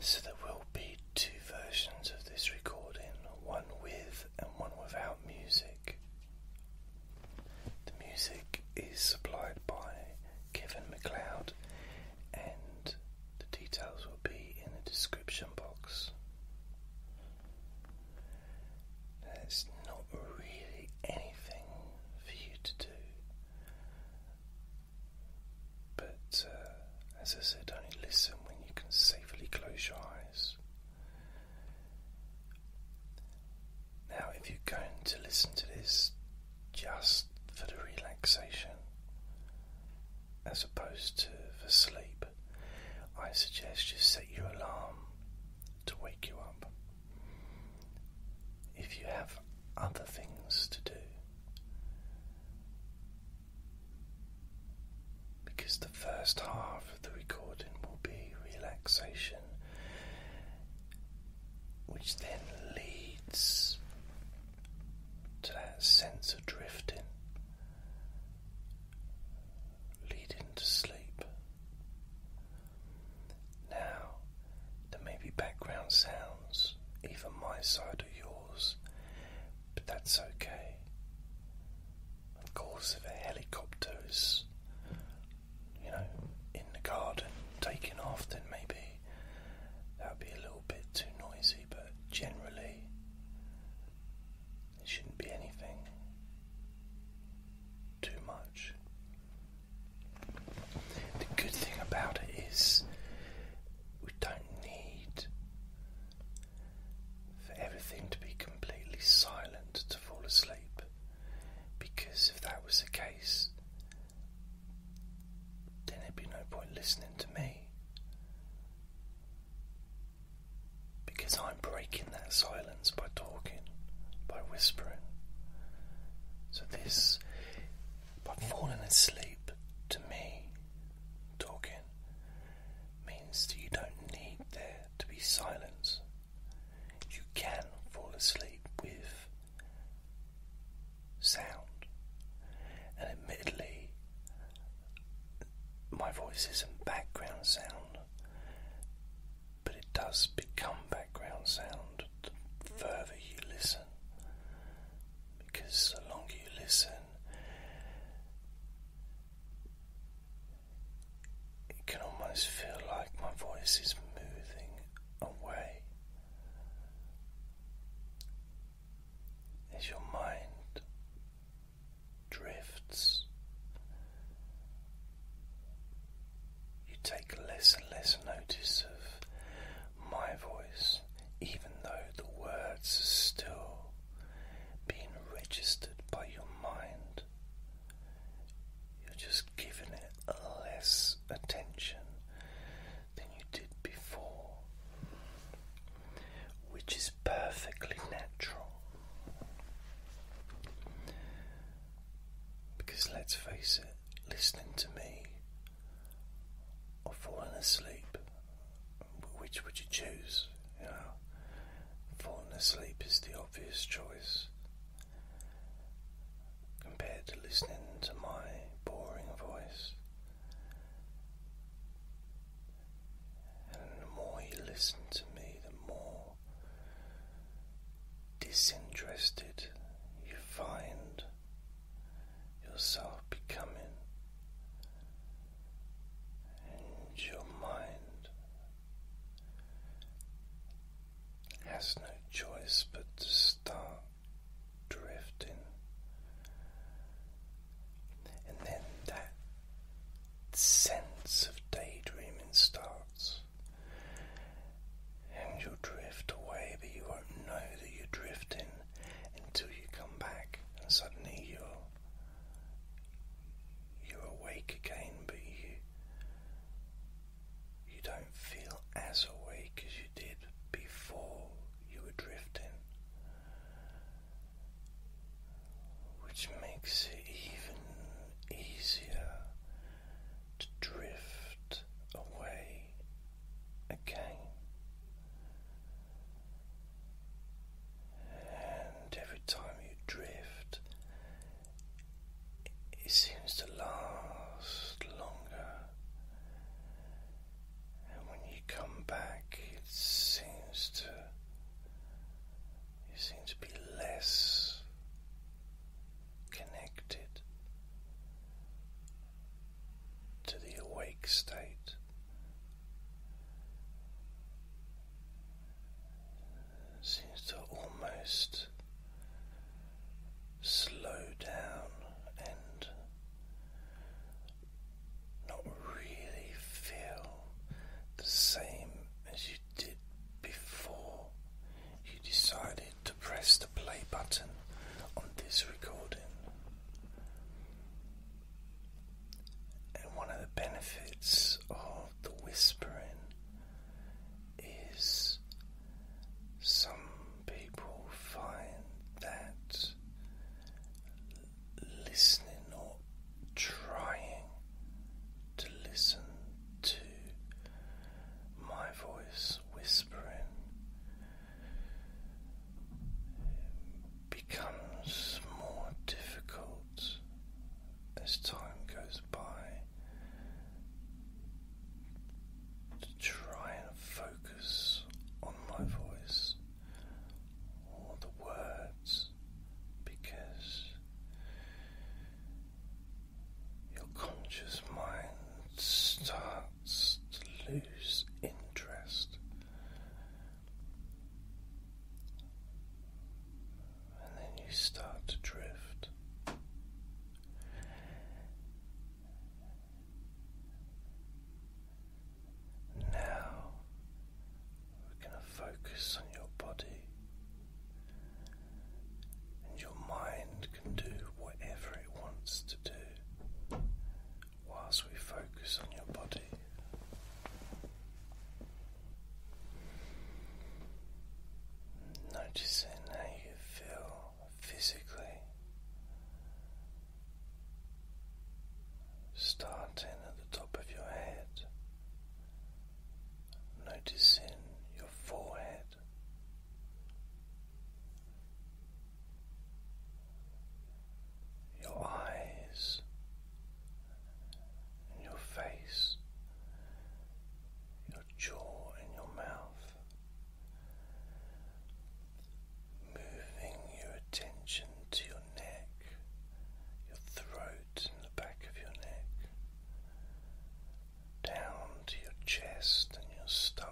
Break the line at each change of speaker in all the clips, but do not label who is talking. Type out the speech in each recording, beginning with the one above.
so there will be two versions of this recording, one with and one without music. The music is supplied by Kevin McLeod, and the details will be in the description box. There's not really anything for you to do but uh, as I said, only listen when you can safely close your eyes. Now, if you're going to listen to this just for the relaxation as opposed to for sleep, I suggest you set your alarm to wake you up. If you have other things to do, because the first half of the recording will be relaxation, which then leads to that sense of drifting, leading to sleep. Now, there may be background sounds, even my side or yours, but that's okay. Of course, if a helicopter is, you know, in the garden taking off, then maybe that'd be a little bit too noisy, but generally, it shouldn't be anything too much. The good thing about it is we don't need for everything to be completely silent to fall asleep, because if that was the case, then there'd be no point listening to me. Because I'm breaking that silence by talking, by whispering. So, this, by falling asleep to me talking, means that you don't need there to be silence. You can fall asleep with sound. And admittedly, my voice isn't background sound, but it does become background sound the further you listen. Because the longer you listen, it can almost feel like my voice is moving away. As your mind drifts, you take less and less notice of my voice, even though the words are still being registered by your mind. You're just giving it less attention than you did before, which is perfectly natural. Because let's face it, listening to me or falling asleep which would you choose? You know, falling asleep is the obvious choice compared to listening to my boring voice. And the more you listen to me, the more disinterested you find yourself becoming and your mind has no choice but to start drifting and then that sense of daydreaming starts and you drift away but you won't know that you're drifting until you come back and suddenly you're you're awake again, but you you don't feel as awake as you did before you were drifting, which makes it even easier to drift away again. And every time you drift, it seems to last longer. And when you come back, it seems to you seem to be less connected to the awake state seems to almost slow down and not really feel the same as you did before you decided to press the play button on this recording. And one of the benefits of the whispering is some people find that listening or trying to listen to my voice whispering becomes more difficult as time goes by to try and focus on my voice or the words because your conscious mind starts to lose interest and then you start to drift. Now we're going to focus on your body, and your mind can do whatever it wants to do whilst we focus on your body. Noticing how you feel physically, starting at the top of your head, noticing your forehead, your eyes and your face, your jaw and your mouth, moving your attention to your neck, your throat and the back of your neck, down to your chest and your stomach.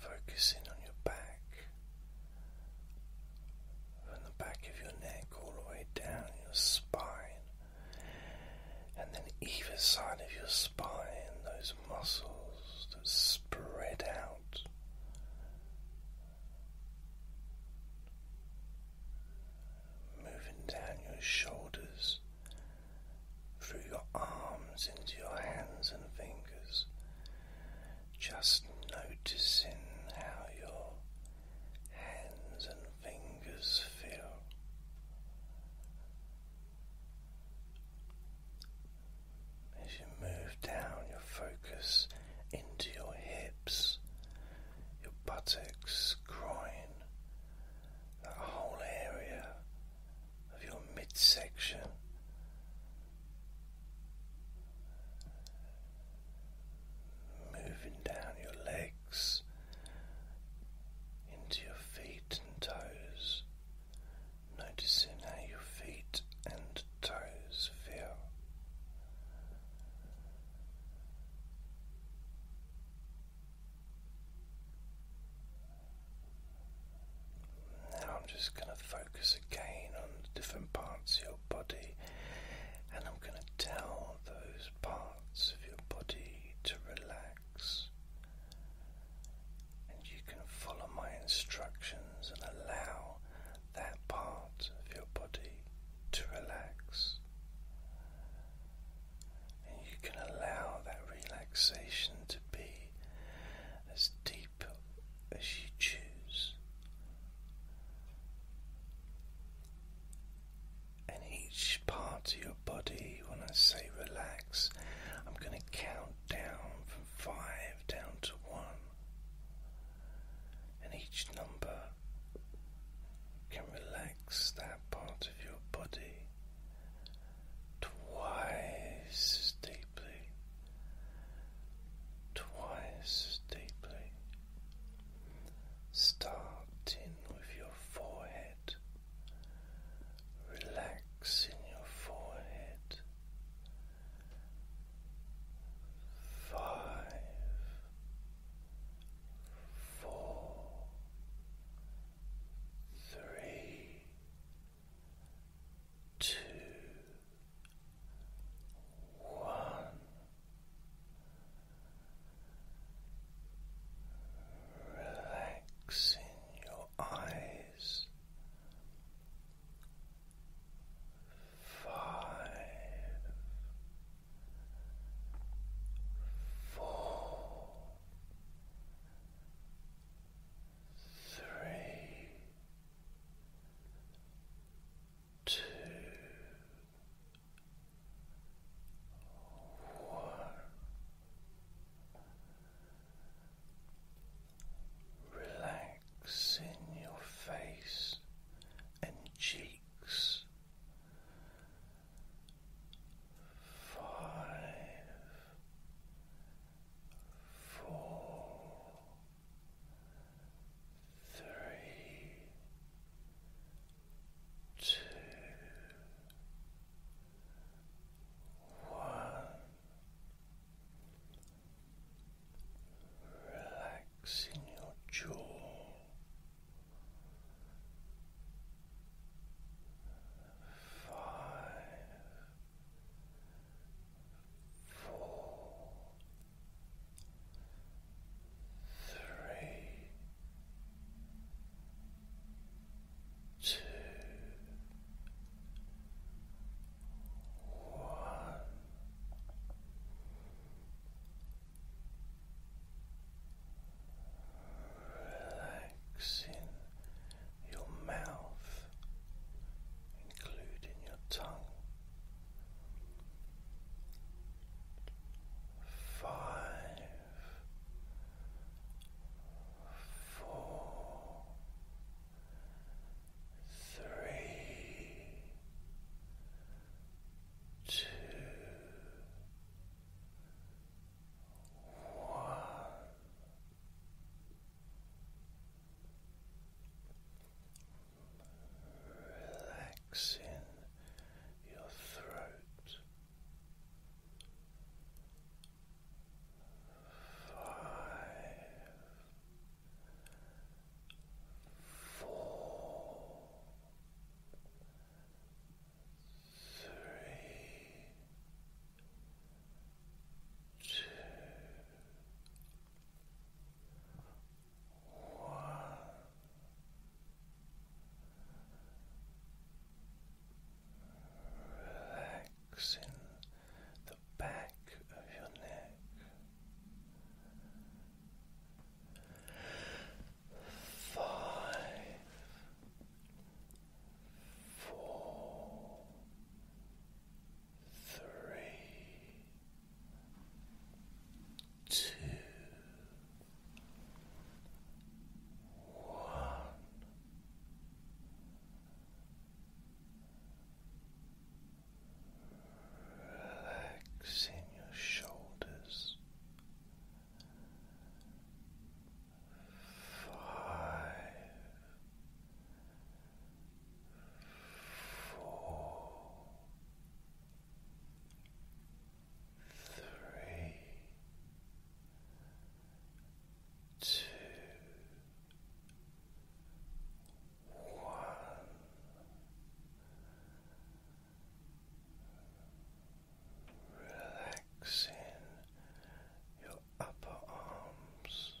Focusing on your back, from the back of your neck all the way down your spine, and then either side of your spine, those muscles that spread out. Moving down your shoulders, through your arms into your hands and fingers, just noticing how your hands and fingers feel. As you move down your focus into your hips, your buttocks, groin, that whole area of your midsection. Moving down your legs into your feet and toes, noticing how your feet and toes feel. Now I'm just going to focus again on different parts of your body and I'm going to tell those parts of your body to relax. And you can follow my instructions and allow that part of your body to relax. And you can allow that relaxation to be as deep as you choose, and each part of your body, when I say relax, I'm going to count down from five down to one, and each number can relax that part of your body twice deeply twice as deeply, in with your forehead, Relax in your forehead. Five, four, three, two, one relaxing your eyes five four Three, Two, one. Relax in your face and cheeks. Five, four, three, two, one. Relaxing your jaw, five, four, three, two, one. Relaxing your mouth, including your tongue. Five, four, three, two, one relaxing your throat. Five, four, three, two, one. Relaxing the back of your neck, five, four, three, two, one. Relaxing your shoulders. Five, four, three, two, one. Relaxing your upper arms,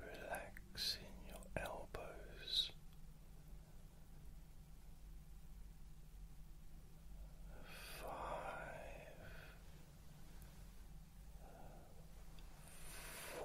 relaxing your elbows, five, four, three.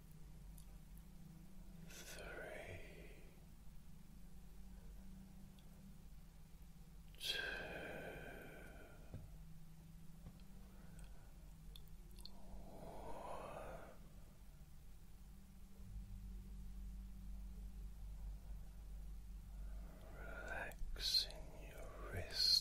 three, two, one. Relaxing your wrists,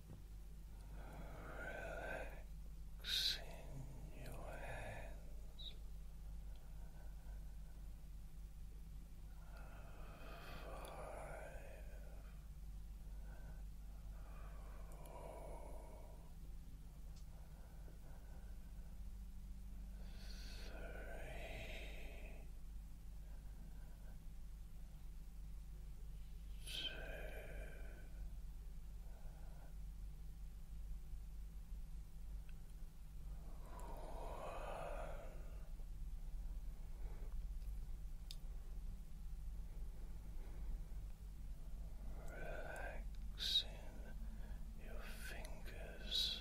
relaxing your hands, five, four, Relaxing your fingers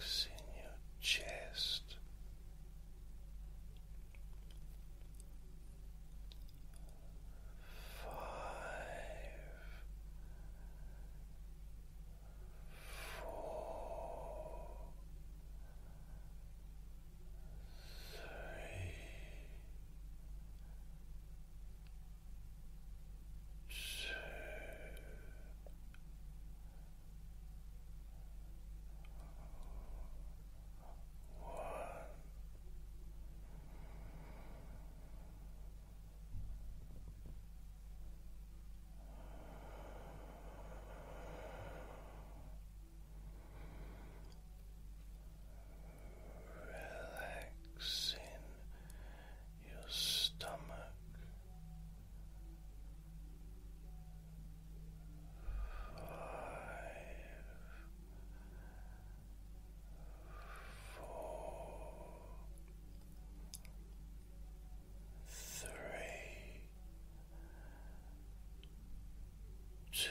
in your chest, five, four, three two, one. Relaxing your stomach five four three two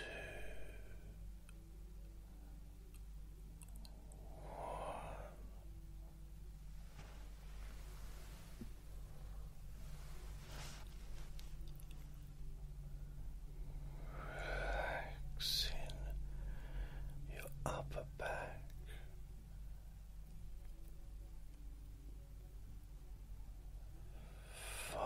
Relaxing your upper back. Five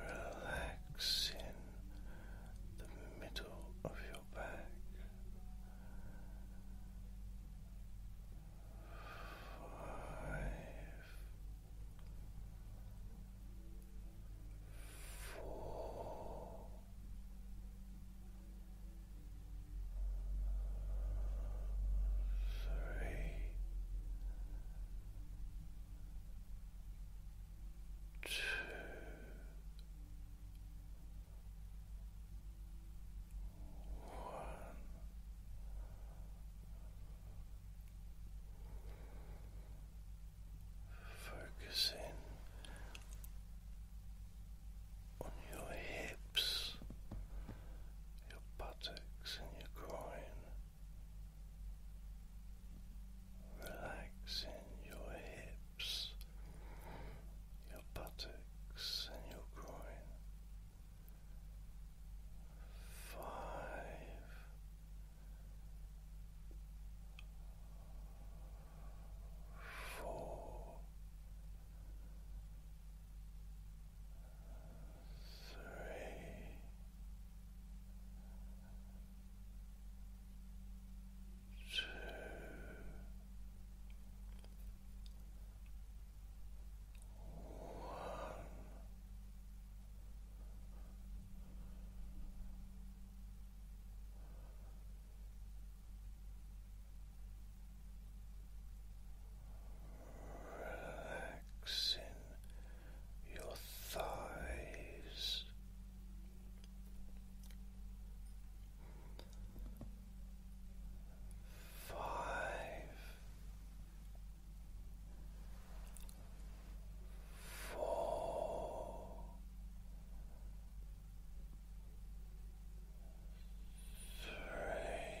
Relax in the middle of your back. Five, four, three, two, one. Focusing on your hips, your buttocks, and your groin, relaxing your hips, your buttocks, and your groin. Five. Four, Three, two, one. Relax relaxing your thighs. Five, four, three,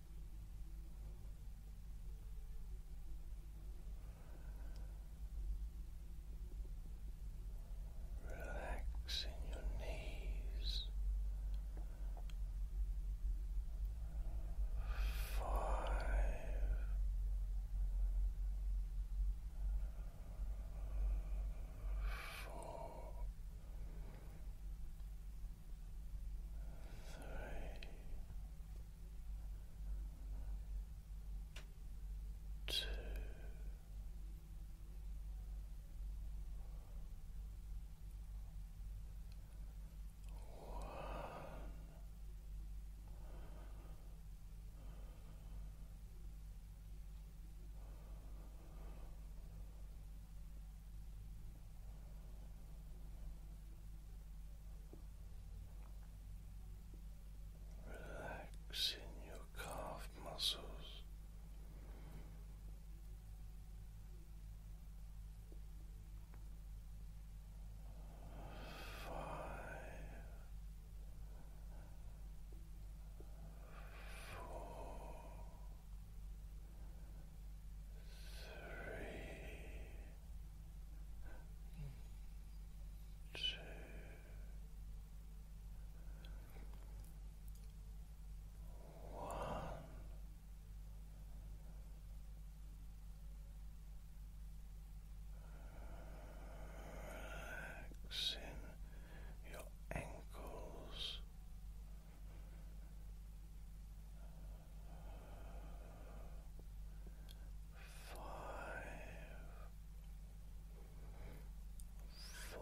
Relaxing your knees five. Four, three, two, one. Two, relaxing your calf muscles. Five, four, three, two, one. Relaxing your ankles, four, three, two,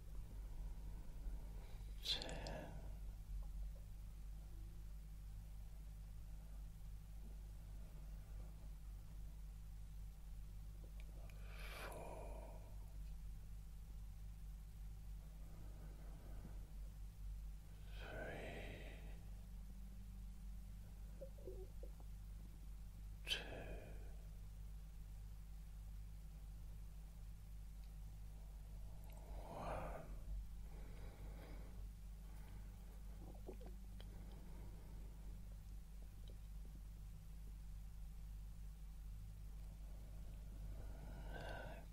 ten four three two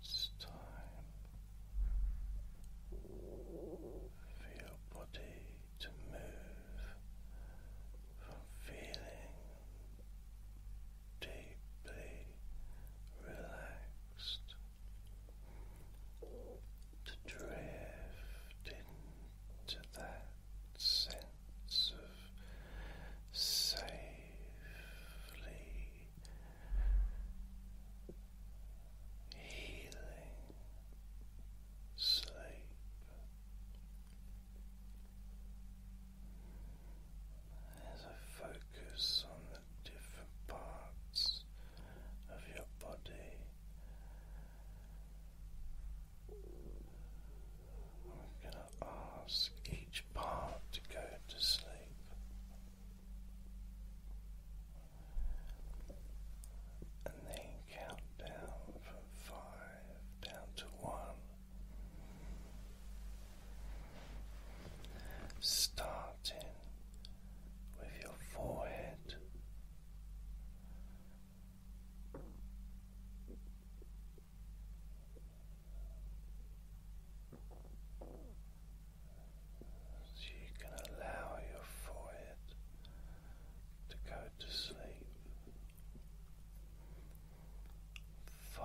it's time for your body to move from feeling deeply relaxed, to drift into that sense of safely healing sleep. As I focus on the different parts of your body, I'm going to ask each part to go to sleep. And then count down from five down to one starting with your forehead. So you can allow your forehead to go to sleep. Five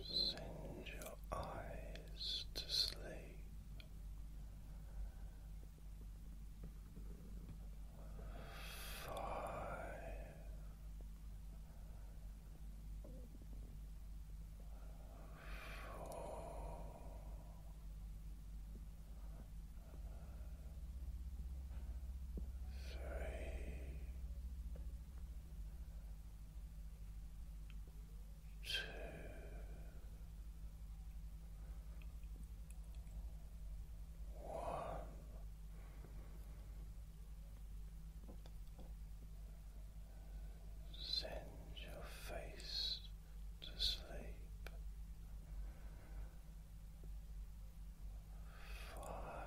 Send your eyes to sleep. Five, four, three, two, one. Send your face to sleep. Five,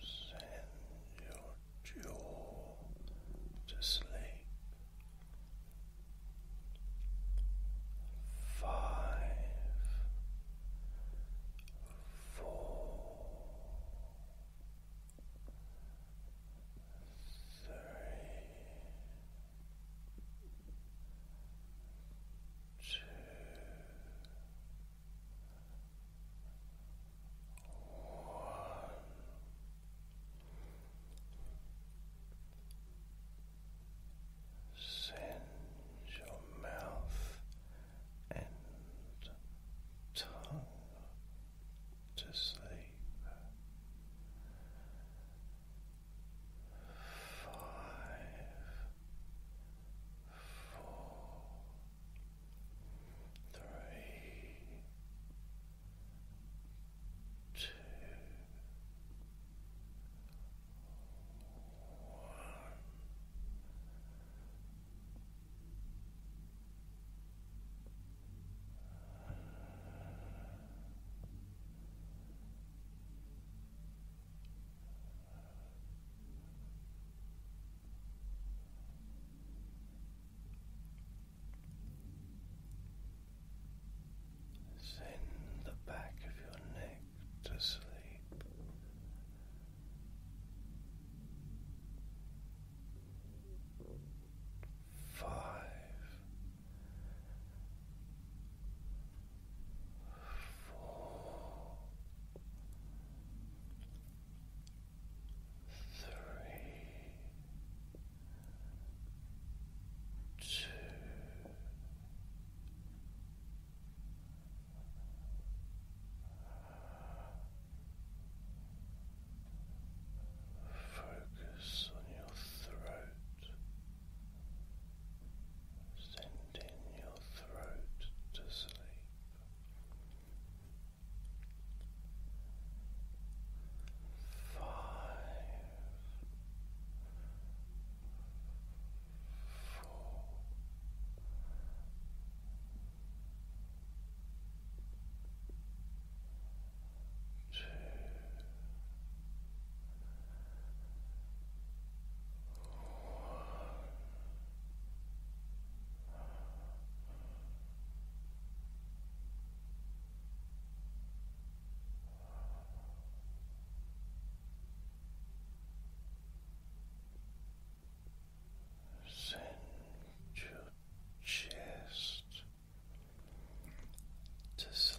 send your jaw to sleep. Five, four, three, two. Send your mouth and tongue to sleep. Five, four, three, two, one. Relax. Send the back of your neck to sleep. Five, four, three, two, Focus on your throat, sending your throat to sleep. Four, two, one. Send your chest to sleep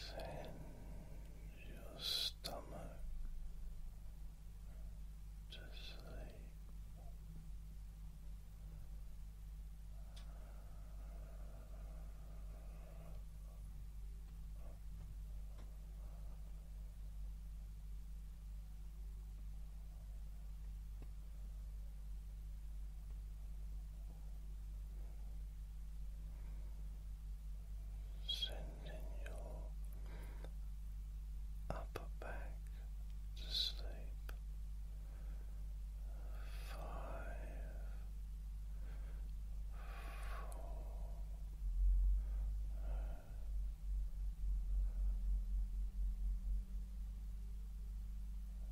Send your stomach to sleep. Sending your upper back to sleep. Five,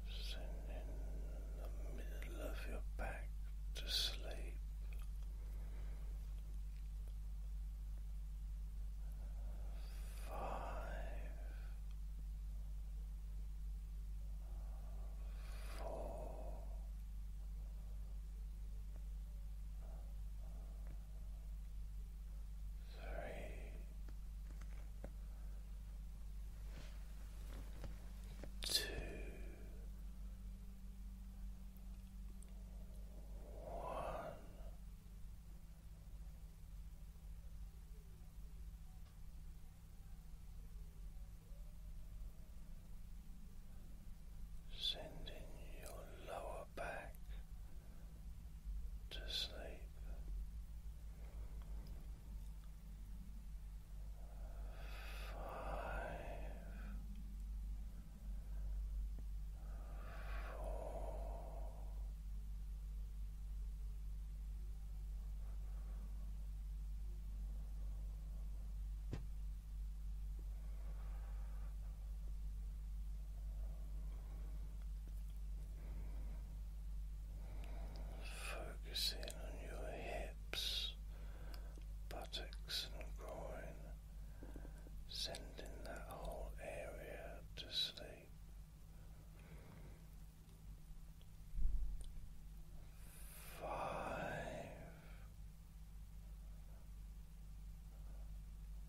sending the middle of your back to sleep. Five, four, three, Two, one, sending your lower back to sleep. Five, four, Focusing on your hips, buttocks, and groin, sending that whole area to sleep. Five.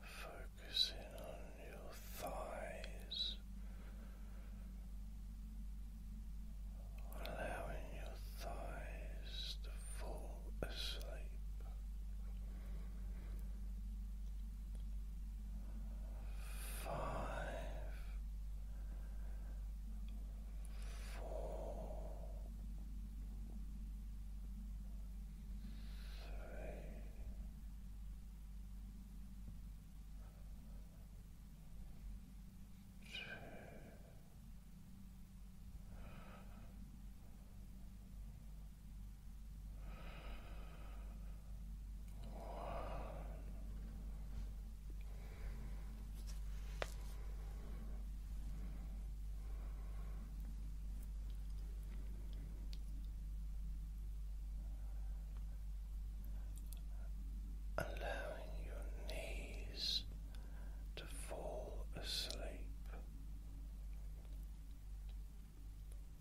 Focusing on your thighs, allowing your thighs to fall asleep five, four, three, two. Allowing your knees to fall asleep.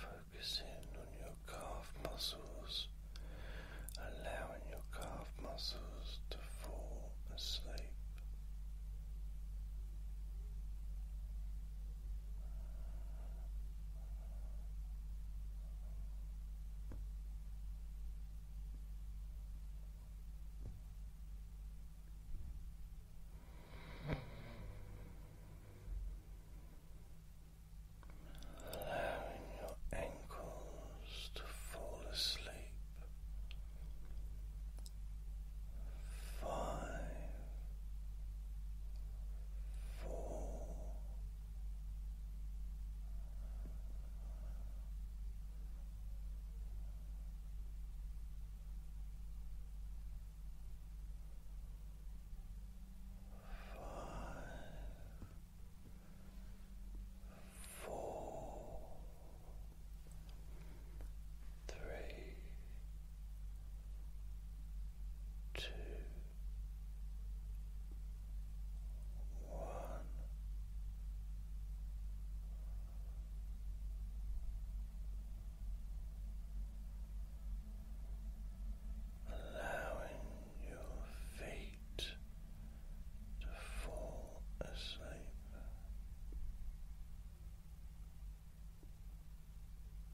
Focusing on your calf muscles, allowing your calf muscles to fall asleep. Allowing your ankles to fall asleep five, four, Five, four, three, two, one. Allowing your feet to fall asleep.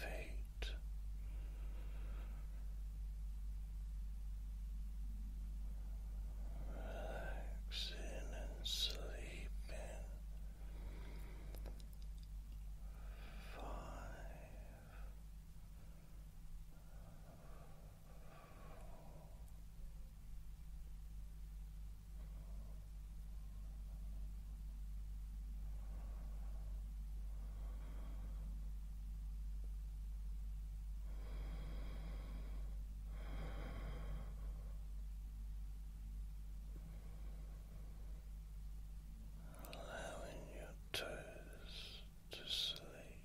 Fate, relaxing and sleeping. Five. Allowing your toes to sleep.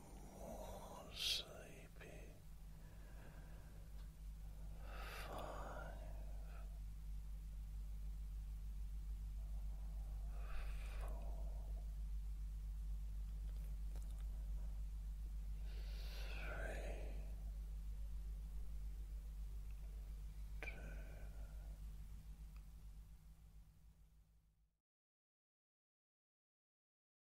more sleepy. Five. Four, three, two.